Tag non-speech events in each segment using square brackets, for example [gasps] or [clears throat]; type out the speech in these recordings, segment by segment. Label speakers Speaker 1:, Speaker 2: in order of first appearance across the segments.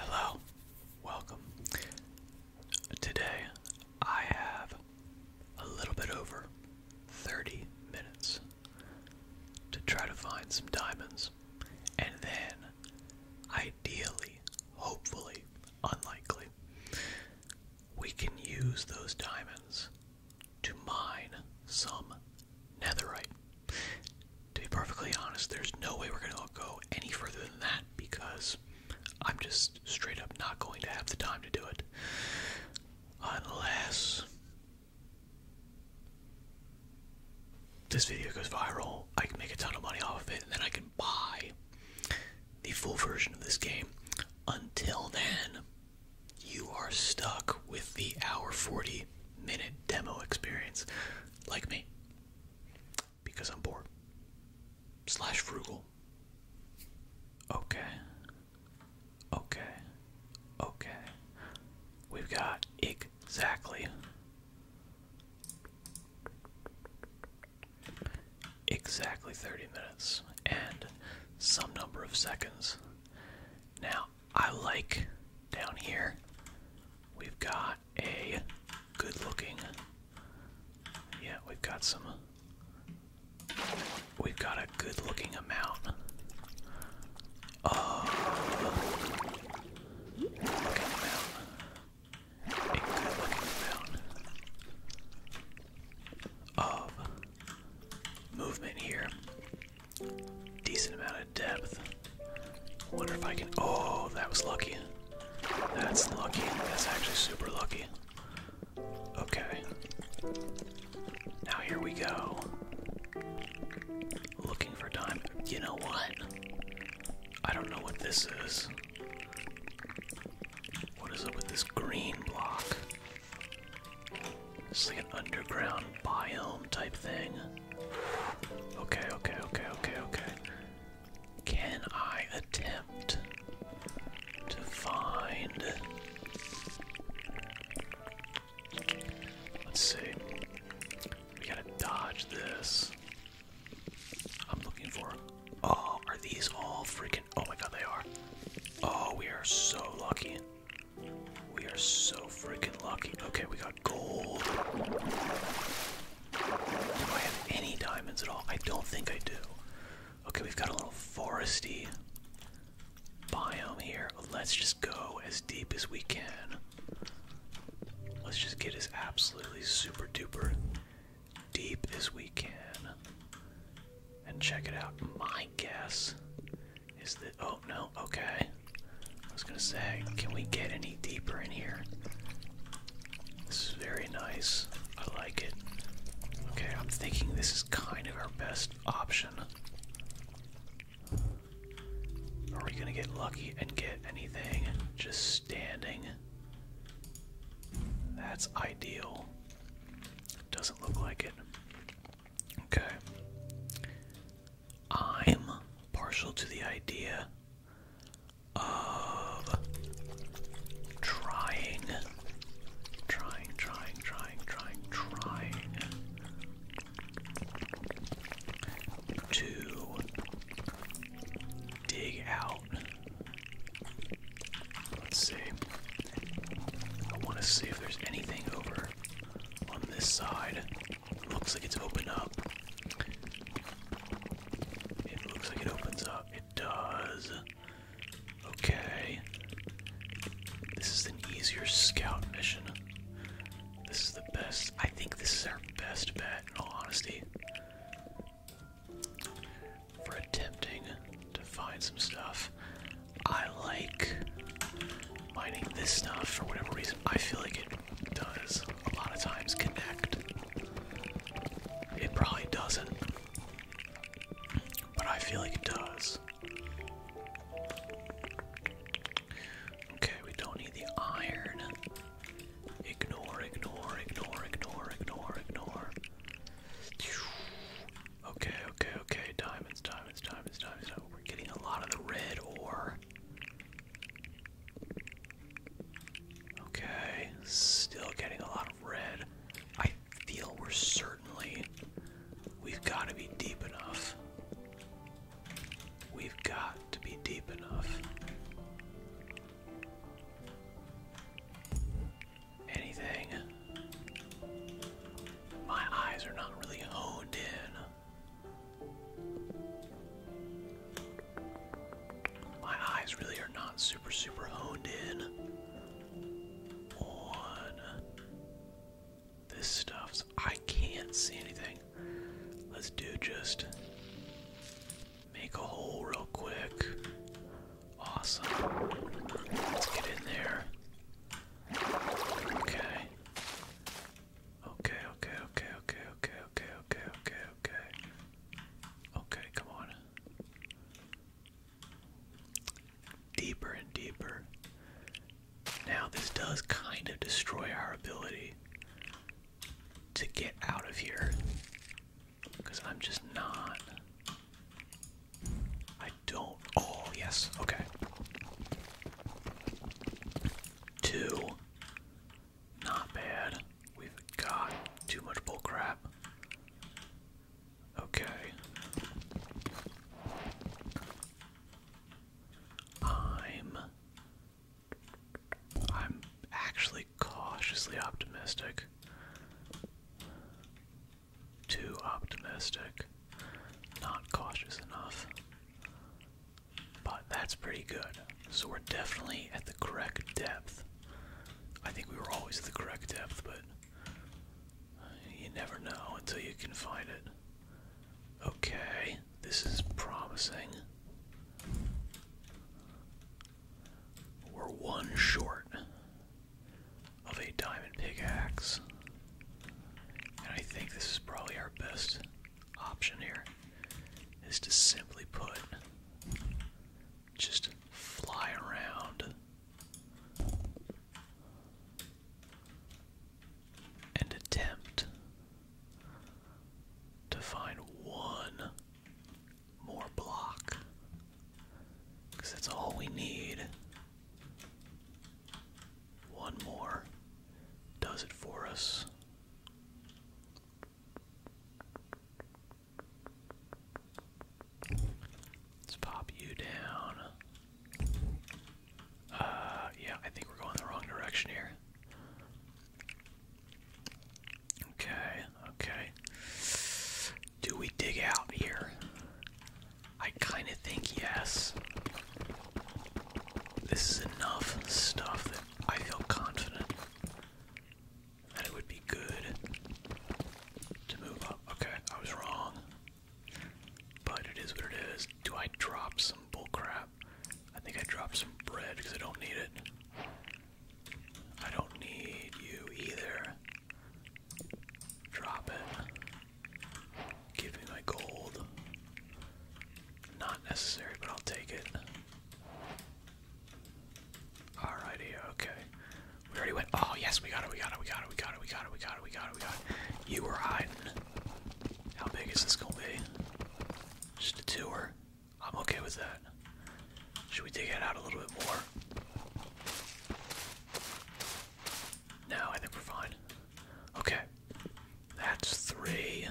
Speaker 1: Hello, welcome. Today I have a little bit over 30 minutes to try to find some diamonds, and then ideally, hopefully, unlikely, we can use those diamonds to mine some netherite to be perfectly honest, there's no way we're going to go any further than that because I'm just straight up not going to have the time to do it. Unless this video goes viral, I can make a ton of money off of it, and then I can buy the full version of this game. Until then, you are stuck with the hour 40 minute demo experience, like me because I'm poor. Slash frugal. Okay. Okay. Okay. We've got exactly. Exactly 30 minutes and some number of seconds. Now, I like down here, we've got a good looking. Yeah, we've got some. We've got a good looking uh, A good looking
Speaker 2: amount of movement here. Decent amount out of depth. Wonder if I can. Oh, that was lucky.
Speaker 1: That's lucky. That's actually super lucky. Okay. Now here we go. Looking for time. You know what? I don't know what this is. What is up with this green block? It's like an underground biome type thing. Okay, okay, okay, okay, okay. Can I attempt to find. Let's see. We gotta dodge this. I'm looking for. Oh, are these all freaking. Oh my god, they are. Oh, we are so lucky. We are so freaking lucky. Okay, we got gold. Do I have any diamonds at all? I don't think I do. Okay, we've got a little foresty biome here. Let's just go as deep as we can. Let's just get as absolutely super duper deep as we can. And check it out. My guess is that. Oh, no, okay. I was gonna say, can we get any deeper in here? This is very nice. I like it. Okay, I'm thinking this is kind of our best option. Are we gonna get lucky and get anything just standing? That's ideal. Doesn't look like it. Okay. I'm partial to the idea of trying, trying, trying, trying, trying, trying to dig out. Let's see. I want to see if there's anything over on this side. Looks like it's open up. It looks like it opens up. It does. Okay. This is an easier scout mission. This is the best. I think this is our best bet, in all honesty. For attempting to find some stuff. I like mining this stuff for whatever reason. I feel like it does a lot of times connect. It probably doesn't, but I feel like it does. Okay, we don't need the iron. Ignore, ignore, ignore, ignore, ignore, ignore. Okay, okay, okay. Diamonds, diamonds, diamonds, diamonds. We're getting a lot of the red ore. Okay, still getting a lot of red. I feel we're certainly. We've got to be deep enough. We've got to be deep enough.
Speaker 2: Anything. My eyes are not really honed
Speaker 1: my eyes really are not super, super honed in on this stuff. I can't see anything. Let's do just make a hole real quick. Awesome. Let's get in there. Okay. Okay, okay, okay, okay, okay, okay, okay, okay, okay. Okay, come on. Deeper and deeper. Now, this does kind of destroy our ability to get out of here. Because I'm just not. I don't. Oh, yes, okay. Two. Not bad. We've got too much bull crap.
Speaker 2: Okay. I'm I'm actually cautiously optimistic. Too optimistic. Not cautious
Speaker 1: enough. But that's pretty good. So we're definitely at the correct depth. I think we were always at the correct depth, but you never know until you can find it. Okay, this is promising. We're one short of a diamond pickaxe. And I think this is probably our best option here is to simply put just fly around and attempt to find one more block because that's all we need. One more does it for us. Let's pop you down. Uh, yeah, I think we're going the wrong direction here.
Speaker 2: Okay, okay. Do we dig out here? I kind of think yes. This is enough
Speaker 1: stuff I feel confident that it would be good to move up. Okay, I was wrong. But it is what it is. Do I drop some bullcrap? I think I dropped some bread because I don't need it. I don't need you either. Drop it. Give me my gold. Not necessary, but I'll take it. Alrighty, okay. We already went. Oh, yes, we got it, we got it, we got it, we got it, we got it, we got it, we got it, we got it. You were hiding. How big is this gonna be? Just a tour. I'm okay with that. Should we dig it out a little bit more? No, I think we're fine. Okay. That's three.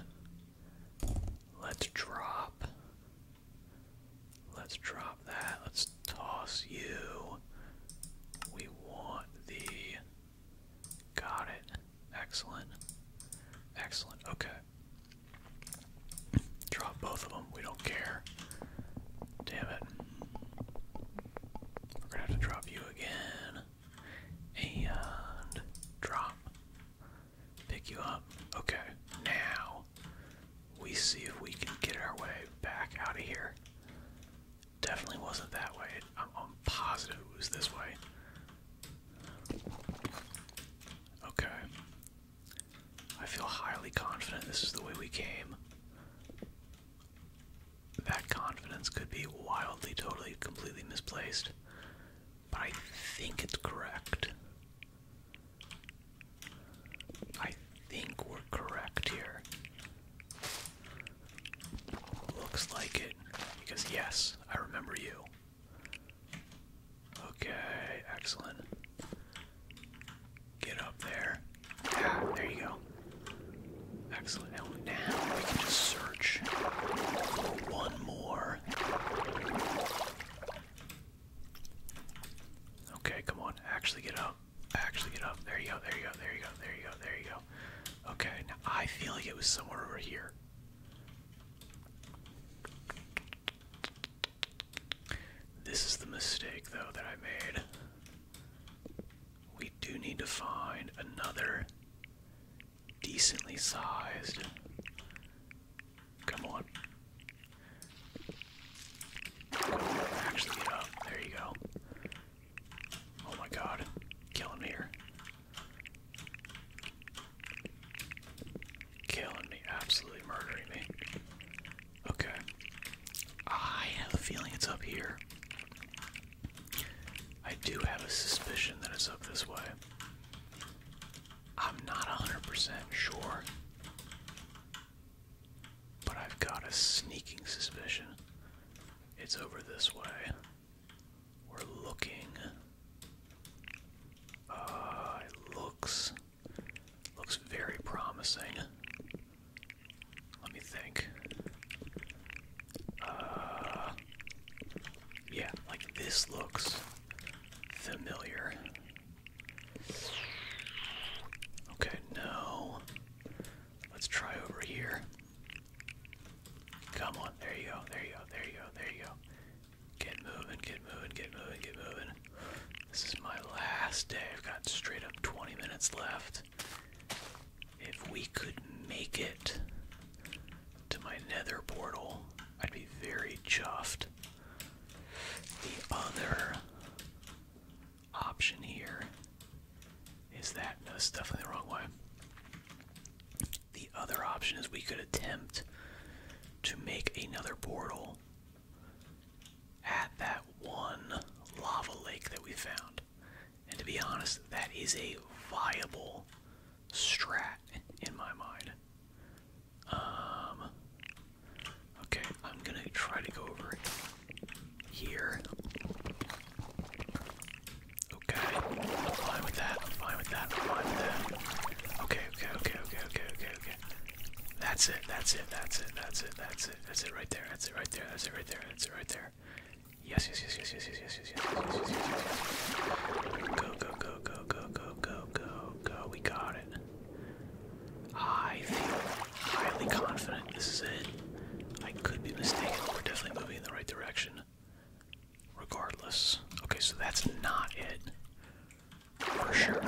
Speaker 1: Let's drop. Let's drop that. Let's toss you. We want the.
Speaker 2: Got it. Excellent. Excellent. Okay. Drop both of them. We don't care. Damn it. We're gonna have to drop you
Speaker 1: again. And drop. Pick you up. Okay, now we see if we can get our way back out of here. Definitely wasn't that way. I'm, positive it was this way. Okay. I feel highly confident this is the way we came. That confidence could be wildly, totally, completely misplaced. But I think it's correct. I think we're correct here. Looks like it. Because, yes, I remember you. Okay, excellent. Get up there. Ah, there you go. Excellent. Now we can search for one more. Okay, come on. Actually get up. Actually get up. There you go, there you go, there you go, there you go, there you go. Okay, now I feel like it was somewhere over here. This is the mistake, though, that I made. We do need to find another decently sized. Come on. Actually get
Speaker 2: up. There you go. Oh my god. Kill him Killing me. Absolutely murdering me. Okay. I have a feeling it's up here. I do have a
Speaker 1: suspicion that it's up this way. I'm not 100% sure, but I've got a sneaking suspicion it's over this way. We're looking. Uh, looks looks very promising. Let me think. Uh, yeah, like this looks familiar. Okay, no. Let's try over here. Come on, there you go, there you go, there you go, there you go. Get moving, get moving, get moving, get moving. This is my last day. I've got straight up 20 minutes left. If we could make it to my nether portal, I'd be very chuffed. The other option here is that. No, definitely the wrong way. The other option is we could attempt to make another portal at that one lava lake that we found. And to be honest, that is a viable strat in my mind. Um, okay, I'm gonna try to go over here. Okay, I'm fine with that. I'm fine with that. Okay, okay, okay, okay, okay, okay, okay. That's it. That's it. That's it. That's it. That's it. That's it right there. That's it right there. That's it right there. That's it right there. yes, yes, yes, yes, yes, yes, yes, yes, yes, yes, yes, yes, yes. Go, go, go, go, go, go, go, go, go. We got it. I feel highly confident. This is it. I could be mistaken, but we're definitely moving in the right direction. Regardless. Okay, so that's not it. For sure.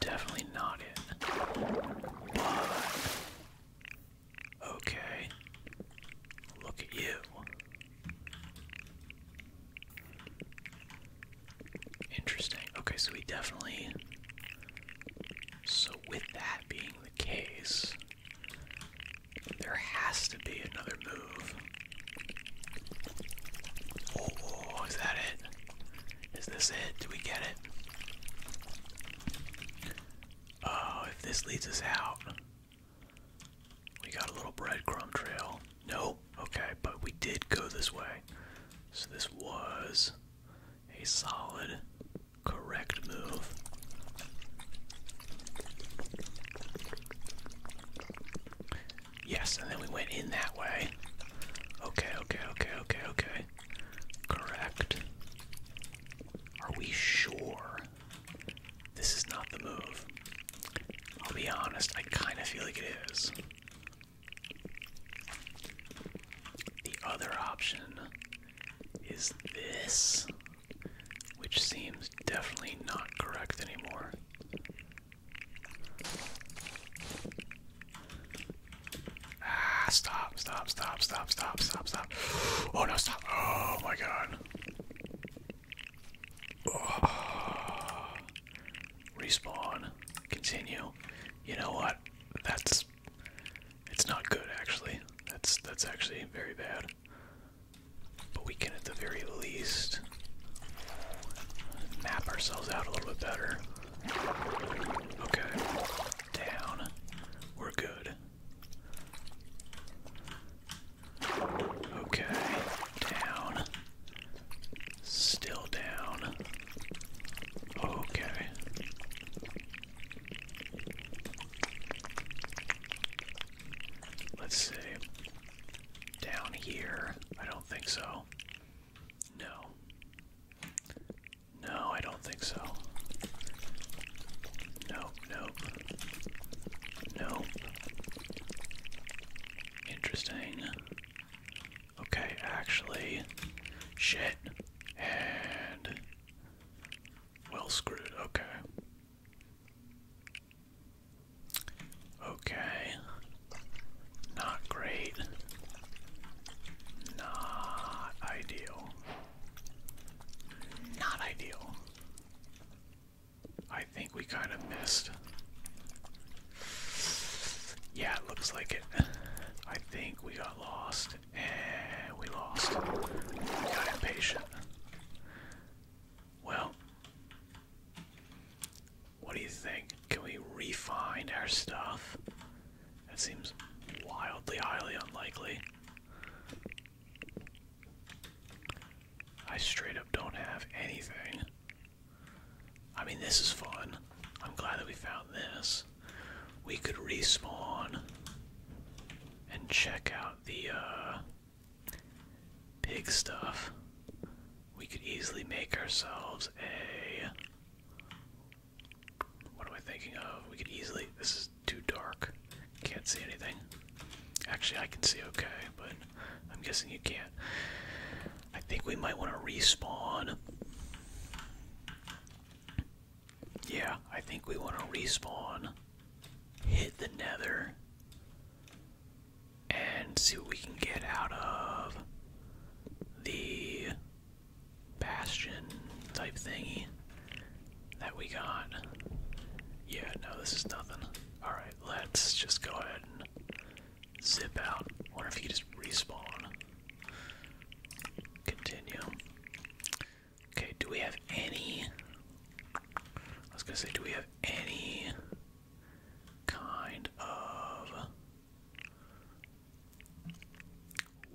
Speaker 1: Definitely not it. But. Okay. Look at you. Interesting. Okay, so we definitely. So, with that being the case, there has to be another move. Oh, is that it? Is this it? Do we get it? Oh, if this leads us out. We got a little breadcrumb trail. No, okay, but we did go this way. So this was a solid, correct move. Yes, and then we went in that way. Okay, okay, okay, okay, okay. Correct. Are we sure this is not the move. I'll be honest, I kind of feel like it is. The other option is this, which seems definitely not correct anymore. Ah, stop, stop, stop, stop, stop, stop, stop. Oh no, stop. Oh my god. Respawn. Continue. You know what? That's it's not good actually. That's that's actually very bad. But we can at the very least map ourselves out a little bit better. Okay. Down. We're good. Okay, down. Still down. Okay. Let's see. Down here. I don't think so. No. No, I don't think so. Nope, nope. No. Interesting. Okay, actually, shit. And. Well screwed, okay. Okay. Not great. Not ideal. Not ideal. I think we kind of missed. Yeah, it looks like it. I think we got lost. And we lost. We got impatient. Well, what do you think? Can we refind our stuff? That seems wildly highly unlikely. I straight up don't have anything. I mean, this is fun. I'm glad that we found this. We could respawn and check out the uh, pig stuff. We could easily make ourselves a. What am I thinking of? We could easily. This is too dark. Can't see anything. Actually, I can see okay, but I'm guessing you can't. I think we might want to respawn. Yeah, I think we want to respawn. Hit the nether. And see what we can get out of the bastion type thingy that we got. Yeah, no, this is nothing. Alright let's just go ahead and zip out. Wonder if you just respawn. Continue. Okay, do we have any? I was gonna say, do we have any kind of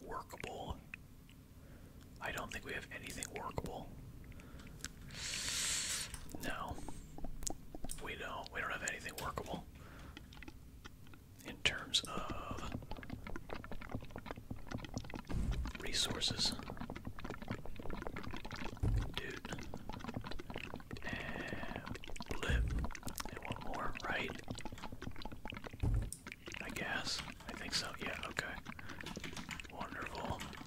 Speaker 1: workable? I don't think we have anything workable. No. We don't we don't have anything workable in terms of resources. Dude. And one more, right? I guess. I think so. Yeah, okay. Wonderful.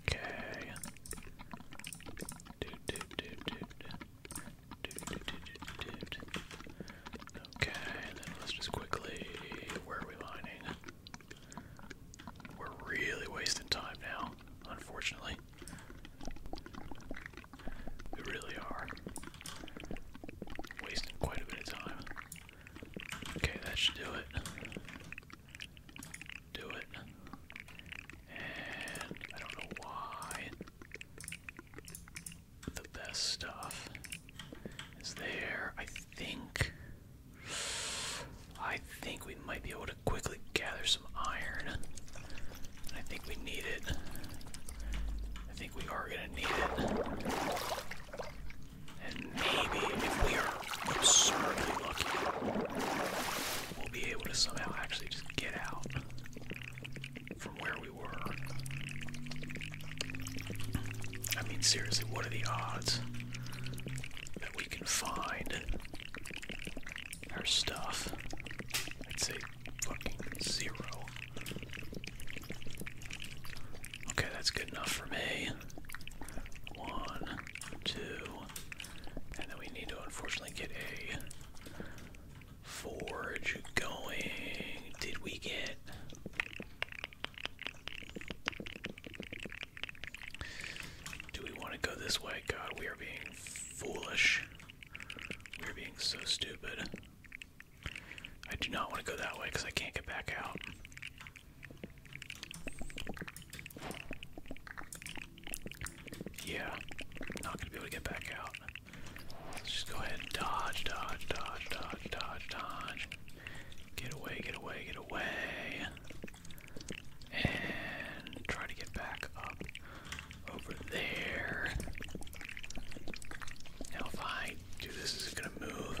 Speaker 1: Okay. Dude, dude, dude, dude. Dude, dude, dude, dude, dude. Okay, then let's just quickly. Where are we lining?
Speaker 2: We're really wasting time now, unfortunately. We really are. Wasting quite
Speaker 1: a bit of time. Okay, that should do it. Do it. And I don't know why the best stuff is there. I think. I think we might be able to quickly gather some iron. I think we need it. I think we are gonna need it. And maybe if we are absurdly lucky, we'll be able to somehow actually just get out from where we were. I mean, seriously, what are the odds that we can find our stuff? I'd say fucking zero. Okay, that's good enough for me. One, two, and then we need to unfortunately get a forge going. Did we get. Do we want to go this way? God, we are being foolish. We are being so stupid. I do not want to go that way because I can't get back out. Yeah, not gonna be able to get back out. just go ahead and dodge, dodge, dodge, dodge, dodge, dodge. Get away, get away, get away. And try to get back up over there. Now, if I do this, is it gonna move?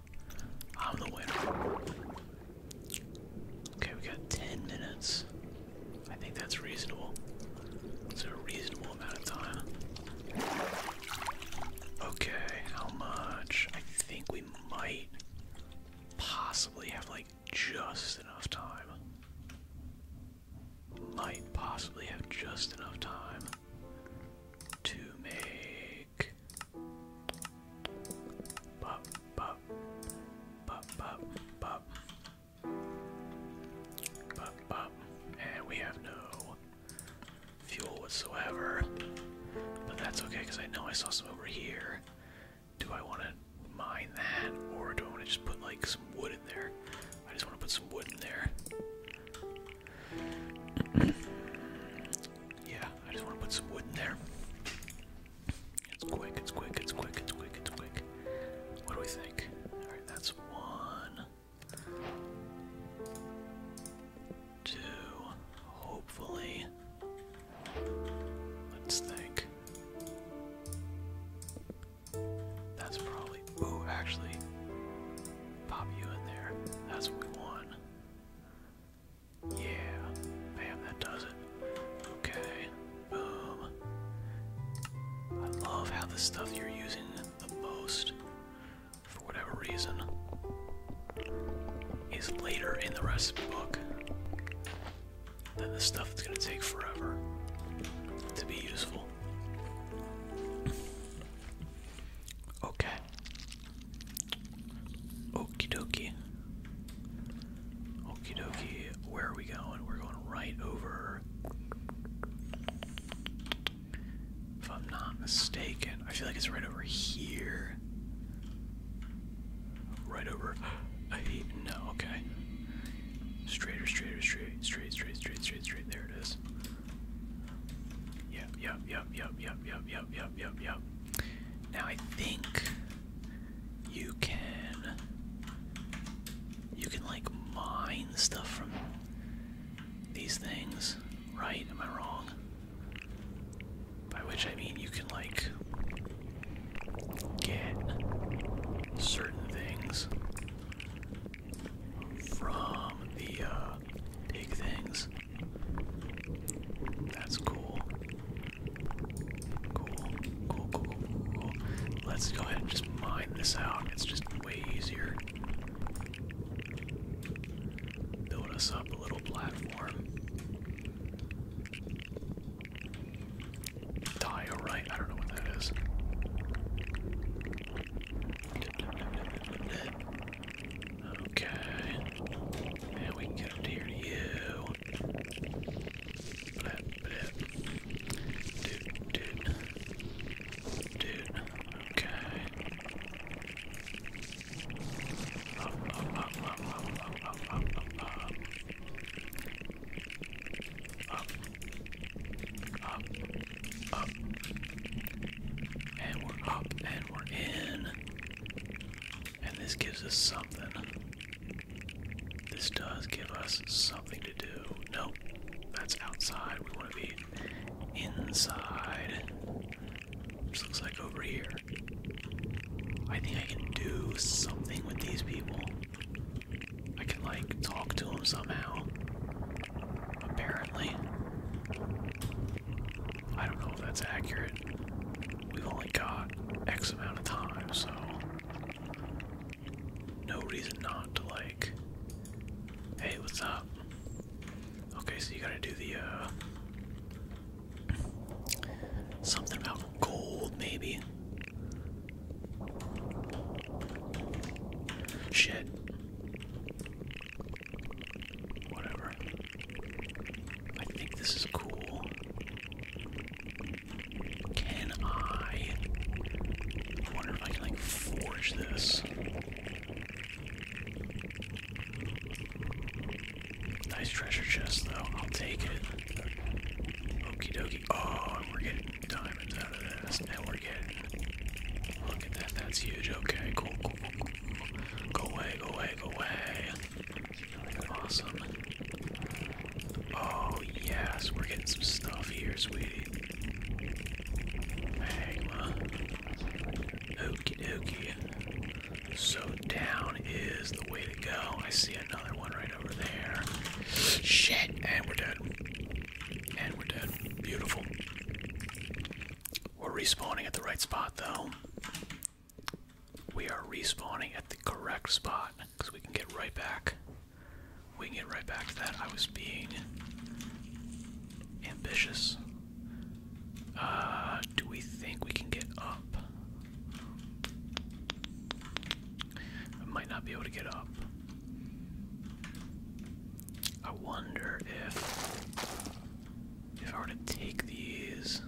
Speaker 1: I'm the winner. Okay, we got 10 minutes. I think that's reasonable. It's a reasonable amount of time. Okay, how much? I think we might possibly have like just
Speaker 2: enough time. Might possibly have just enough time to make Pop, pop, pop, pop,
Speaker 1: pop, pop, pop, and we have no fuel whatsoever. But that's okay because I know I saw some over here. Do I want to mine that, or do I just put like some wood in there? I just want to put some wood in there. [clears throat] yeah, I just want to put some wood in there. It's quick, it's quick, it's quick, it's quick, it's quick. What do we think? Alright, that's one. Two. Hopefully. Let's think. That's probably. Ooh, actually. Pop you in there. That's what we want. Yeah. Bam, that does it. Okay. Boom. I love how the stuff you're using the most, for whatever reason, is later in the recipe book than the stuff that's going to take forever to be useful. Okay. Okie dokie. Okie dokie. Where are we going? We're going right over. If I'm not mistaken, I feel like it's right over here. Right over. [gasps] I, no, okay. Straighter, straighter, straight, straight, straight, straight, straight, straight. There it is. Yep, yep, yep, yep, yep, yep, yep, yep, yep, yep. Now I think you can you can like mine stuff from these things, right? Am I wrong? By which I mean you can like get certain things from the uh, big things. That's cool. Cool, cool, cool, cool, Let's go ahead and just mine this out. It's just way easier. Build us up a little platform. Diorite, I don't know what that is. Okay. And we can get up to here to you. Dude, dude. Dude. Okay. up, up, up, up, up, up, up, up, up. Up. Up. Up. And we're up and we're in. And this gives us something. This does give us something to do. Nope, that's outside. We want to be inside. which looks like over here. I think I can do something with these people. I can, like, talk to them somehow. Apparently. I don't know if that's accurate. We've only got X amount of time, so no reason not to like. Hey, what's up? Okay, so you gotta do the uh something about gold, maybe. Shit. Whatever. I think this is cool. Can I? I wonder if I can like forge this. Nice treasure chest though. I'll take it. Okie dokie. Oh, and we're getting diamonds out of this. And we're getting. Look at that. That's huge. Okay, cool, cool, cool, cool. Go away, go away, go away awesome. Oh, yes, we're getting some stuff here, sweetie. Magma. Okie dokie. So, down is the way to go. I see another one right over there. Shit! And we're dead. And we're dead. Beautiful. We're respawning at the right spot, though we are respawning at the correct spot because we can get right back. We can get right back to that. I was being ambitious. Uh, do we think we can get up? I might not be able to get up. I wonder if if I were to take these,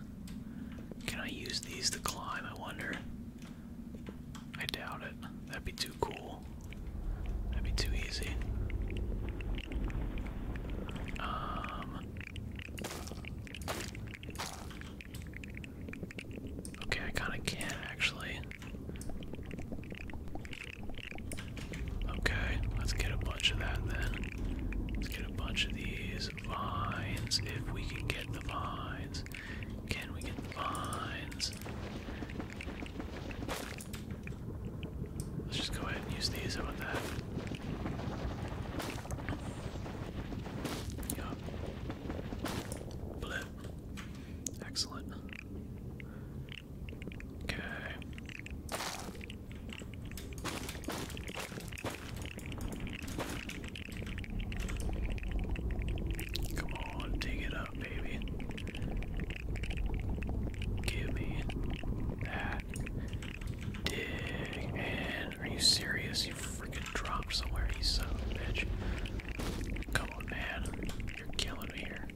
Speaker 1: can I use these to climb? I wonder. I doubt it. That'd be too cool. That'd be too easy. Um. Okay, I kind of can actually. Okay, let's get a bunch of that then. Let's get a bunch of these vines if we can get the vines. Can we get the vines? Let's just go ahead and use these. How about that? Yup. Blip. Excellent. Okay. Come on, dig it up, baby. Give me that. Dig in. Are you serious? You freaking dropped somewhere, you son of a bitch. Come on, man. You're killing me here.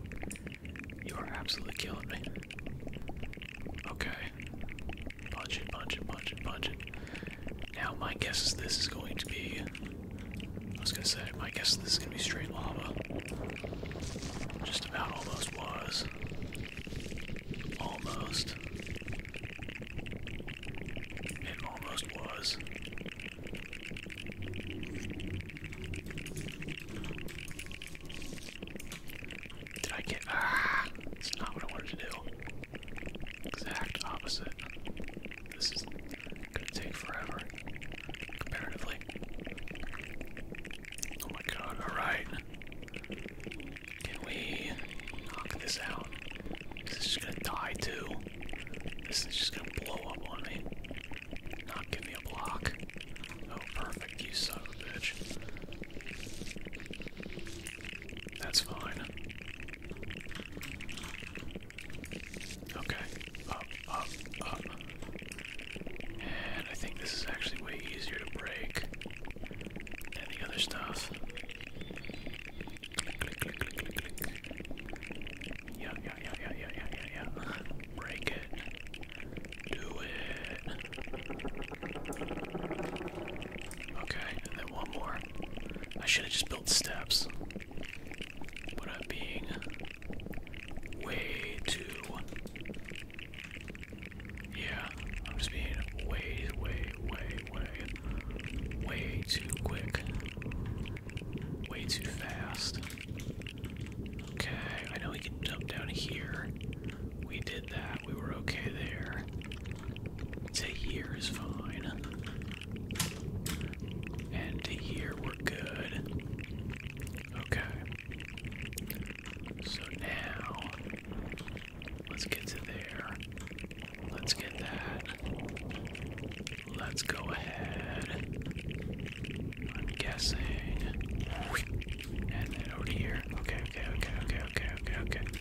Speaker 1: You are absolutely killing me. Okay. Punch it, punch it, punch it, punch it. Now, my guess is this is going to be. I was gonna say, my guess is this is gonna be straight lava. Just about almost was. Almost. It almost was. Did I get. Ah! not what I wanted to do. Exact opposite. This is gonna take forever. Comparatively. Oh my god, alright. Can we knock this out? This is just gonna die too. This is just gonna blow up on me. Not give me a block. Oh, perfect. You son of a bitch. That's fine. Okay. Up, up, up. And I think this is actually way easier to break than the other stuff. Click, click, click, click, click, click. Yeah, yeah, yeah, yeah, yeah, yeah, yeah, [laughs] Break it. Do it. Okay, and then one more. I should have just built steps. But i being way too. Yeah, I'm just being way, way, way, way, way too quick. Way too fast. Okay, I know we can jump down here. We did that. We were okay there. To here is fine. And to here we're good. Okay. So now, let's get to there. Let's get that. Let's go ahead. I'm guessing. And then over here. Okay, okay, okay, okay, okay, okay, okay.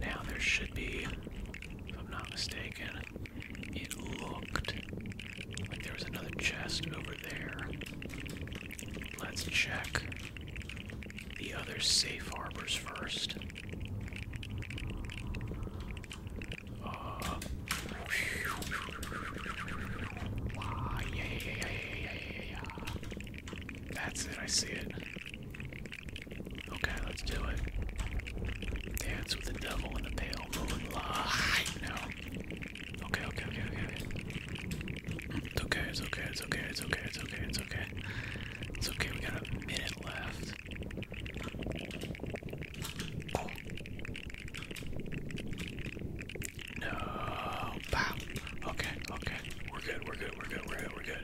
Speaker 1: Now there should be, if I'm not mistaken, it looked like there was another chest over there. Let's check the other safe harbors first. That's it, I see it. Okay, let's do it. Dance with the devil in the pale moonlight. No. Okay, okay, okay, okay. It's okay, it's okay, it's okay, it's okay, it's okay, it's okay. It's okay, we got a minute left. No. Bam. Okay, okay. We're good, we're good, we're good, we're good, we're good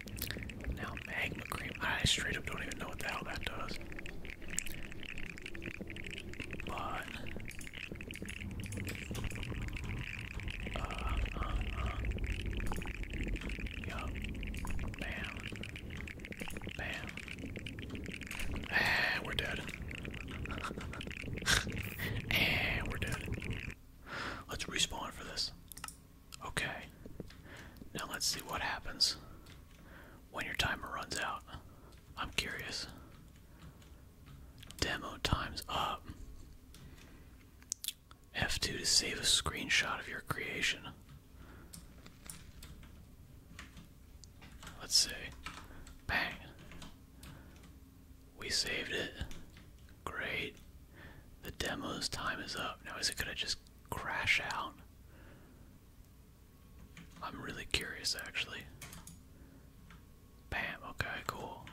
Speaker 1: Now magma cream. I straight up don't even know what the hell that does. But uh, uh, uh. Bam. Bam. Ah, we're dead. [laughs] and we're dead. Let's respawn for this. Okay. Now let's see what happens when your timer runs out. I'm curious. Demo time's up. F2 to save a screenshot of your creation. Let's see. Bang. We saved it. Great. The demo's time is up. Now, is it going to just crash out? I'm really curious actually. Bam, okay, cool.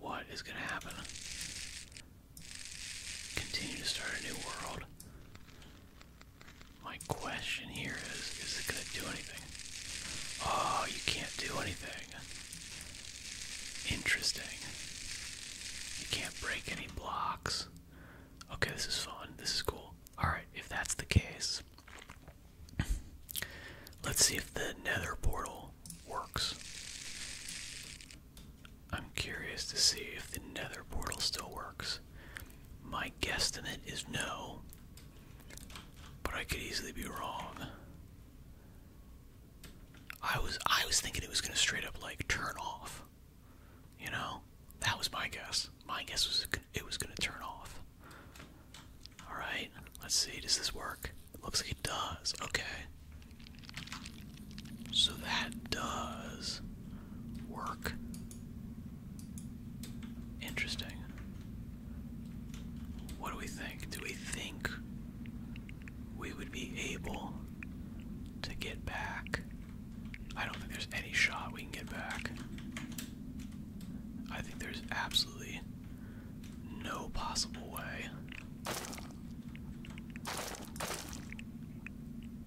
Speaker 1: What is gonna happen? Continue to start a new world. My question here is, is it gonna do anything? Oh, you can't do anything. Interesting. You can't break any blocks. Okay, this is fun. This is cool. Alright, if that's the case, let's see if the nether portal works. I'm curious to see if the nether portal still works. My guesstimate is no, but I could easily be wrong. I was I was thinking it was gonna straight up like turn off. You know, that was my guess. My guess was it was gonna turn off. All right, let's see. Does this work? looks like it does. Okay. So that does work. Interesting. What do we think? Do we think we would be able to get back. I don't think there's any shot we can get back. I think there's absolutely no possible way.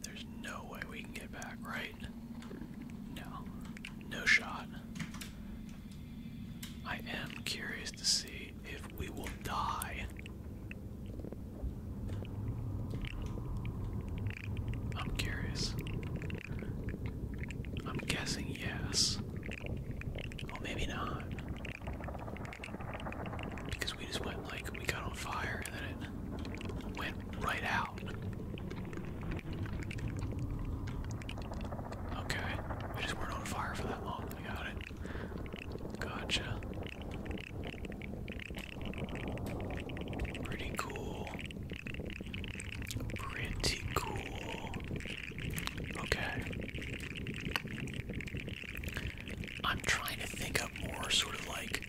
Speaker 1: There's no way we can get back, right? No. No shot. I am curious to see if we will die. I'm curious. I'm guessing yes. Well, maybe not. Because we just went like, we got on fire and then it went right out. Okay. We just weren't on fire for that long. We got it. Gotcha. Pretty cool. Pretty cool. Okay. I'm trying to think of more sort of like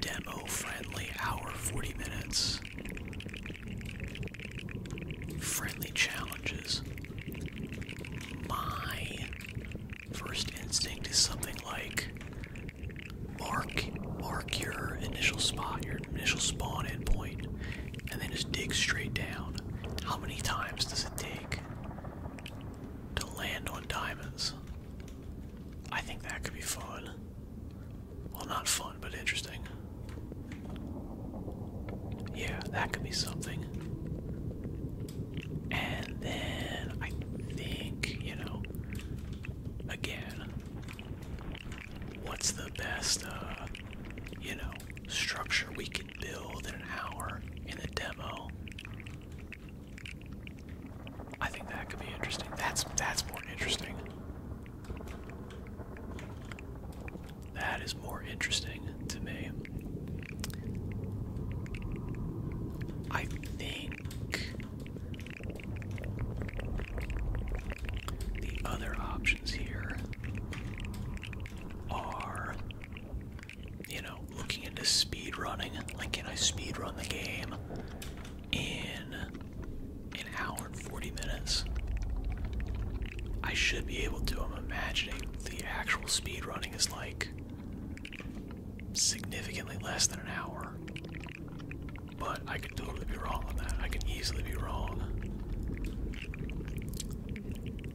Speaker 1: demo friendly hour 40 minutes. Friendly challenges. My First instinct is something like mark mark your initial spot, your initial spawn endpoint, and then just dig straight down. How many times does it take to land on diamonds? I think that could be fun. Well, not fun, but interesting. Yeah, that could be something. And then I think, you know, again, what's the best, uh, you know, structure we can build in an hour in the demo? I think that could be interesting. That's that's more interesting. That is more interesting to me. I think the other options here are you know looking into speed running like can I speed run the game in an hour and 40 minutes I should be able to I'm imagining the actual speed running is like significantly less than an hour. But I could totally be wrong on that. I can easily be wrong.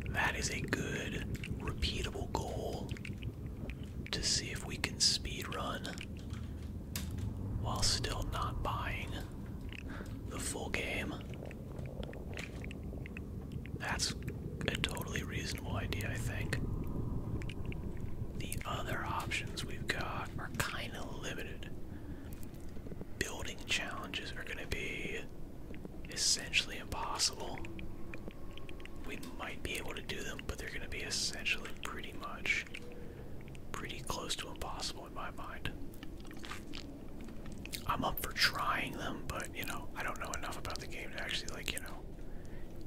Speaker 2: That is a good, repeatable
Speaker 1: goal to see if we can speed run while still not buying the full game. That's a totally reasonable idea, I think. The other options we've got are kind of limited. Building challenges are going to be essentially impossible. We might be able to do them, but they're going to be essentially pretty much pretty close to impossible in my mind. I'm up for trying them, but you know, I don't know enough about the game to actually like, you know,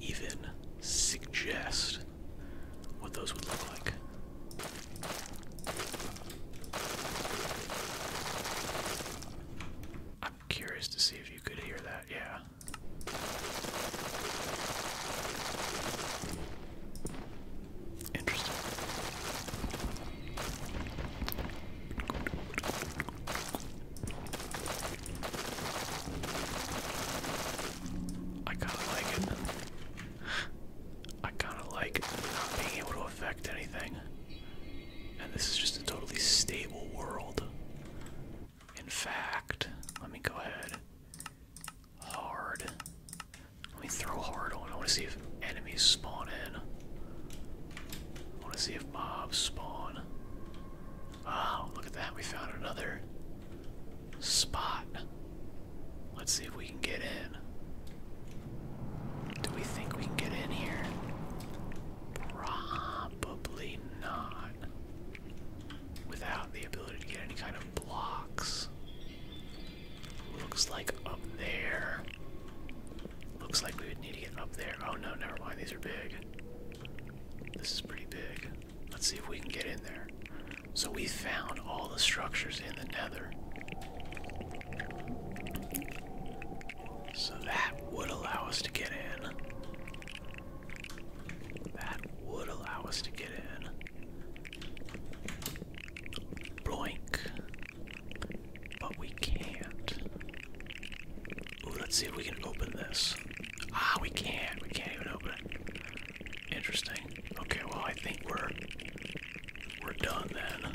Speaker 1: even suggest what those would look like. I'm curious to see if you could hear that, yeah. Interesting. I kinda like it. I kinda like not being able to affect anything. And this is just a totally stable world. In fact, let me go ahead. Hard. Let me throw hard on. I want to see if enemies spawn in want to see if mobs spawn. Wow, oh, look at that. We found another spot. Let's see if we can get in. Do we think we can get in here? Probably not. Without the ability to get any kind of blocks. Looks like up there Looks like we would need to get up there. Oh no, never mind. These are big. This is pretty big. Let's see if we can get in there. So we found all the structures in the nether. So that would allow us to get in. That would allow us to get in. Bloink. But we can't. Ooh, let's see if we can open this. Ah, we can't. We can't even open it. Interesting. Okay, well I think we're we're done then.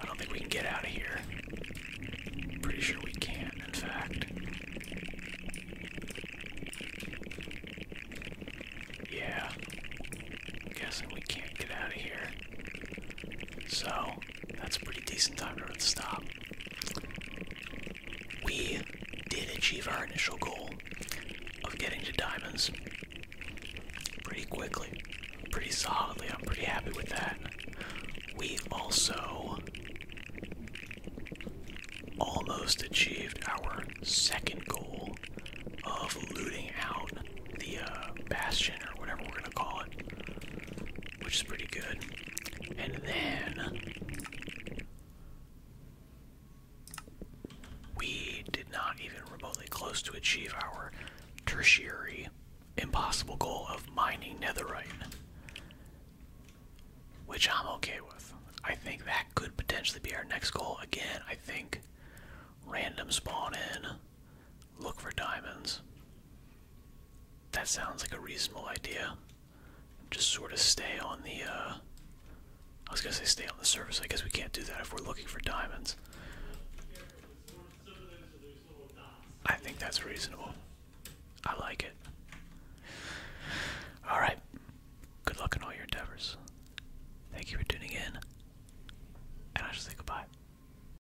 Speaker 1: I don't think we can get out of here. Pretty sure we can, in fact. Yeah. guessing we can't get out of here. So that's a pretty decent time to stop. We did achieve our initial goal of getting to diamonds pretty quickly, pretty solidly. I'm pretty happy with that. We also almost achieved our second goal of looting out the uh, bastion or whatever we're gonna call it which is pretty good. And then we did not even remotely close to achieve our tertiary impossible goal of mining netherite, which I'm okay with. I think that could potentially be our next goal. Again, I think random spawn in look for diamonds. That sounds like a reasonable idea. Just sort of stay on the, uh, I was gonna say stay on the surface. I guess we can't do that if we're looking for diamonds. I think that's reasonable. I like it. Alright. Good luck in all your endeavors. Thank you for tuning in. And I just say goodbye.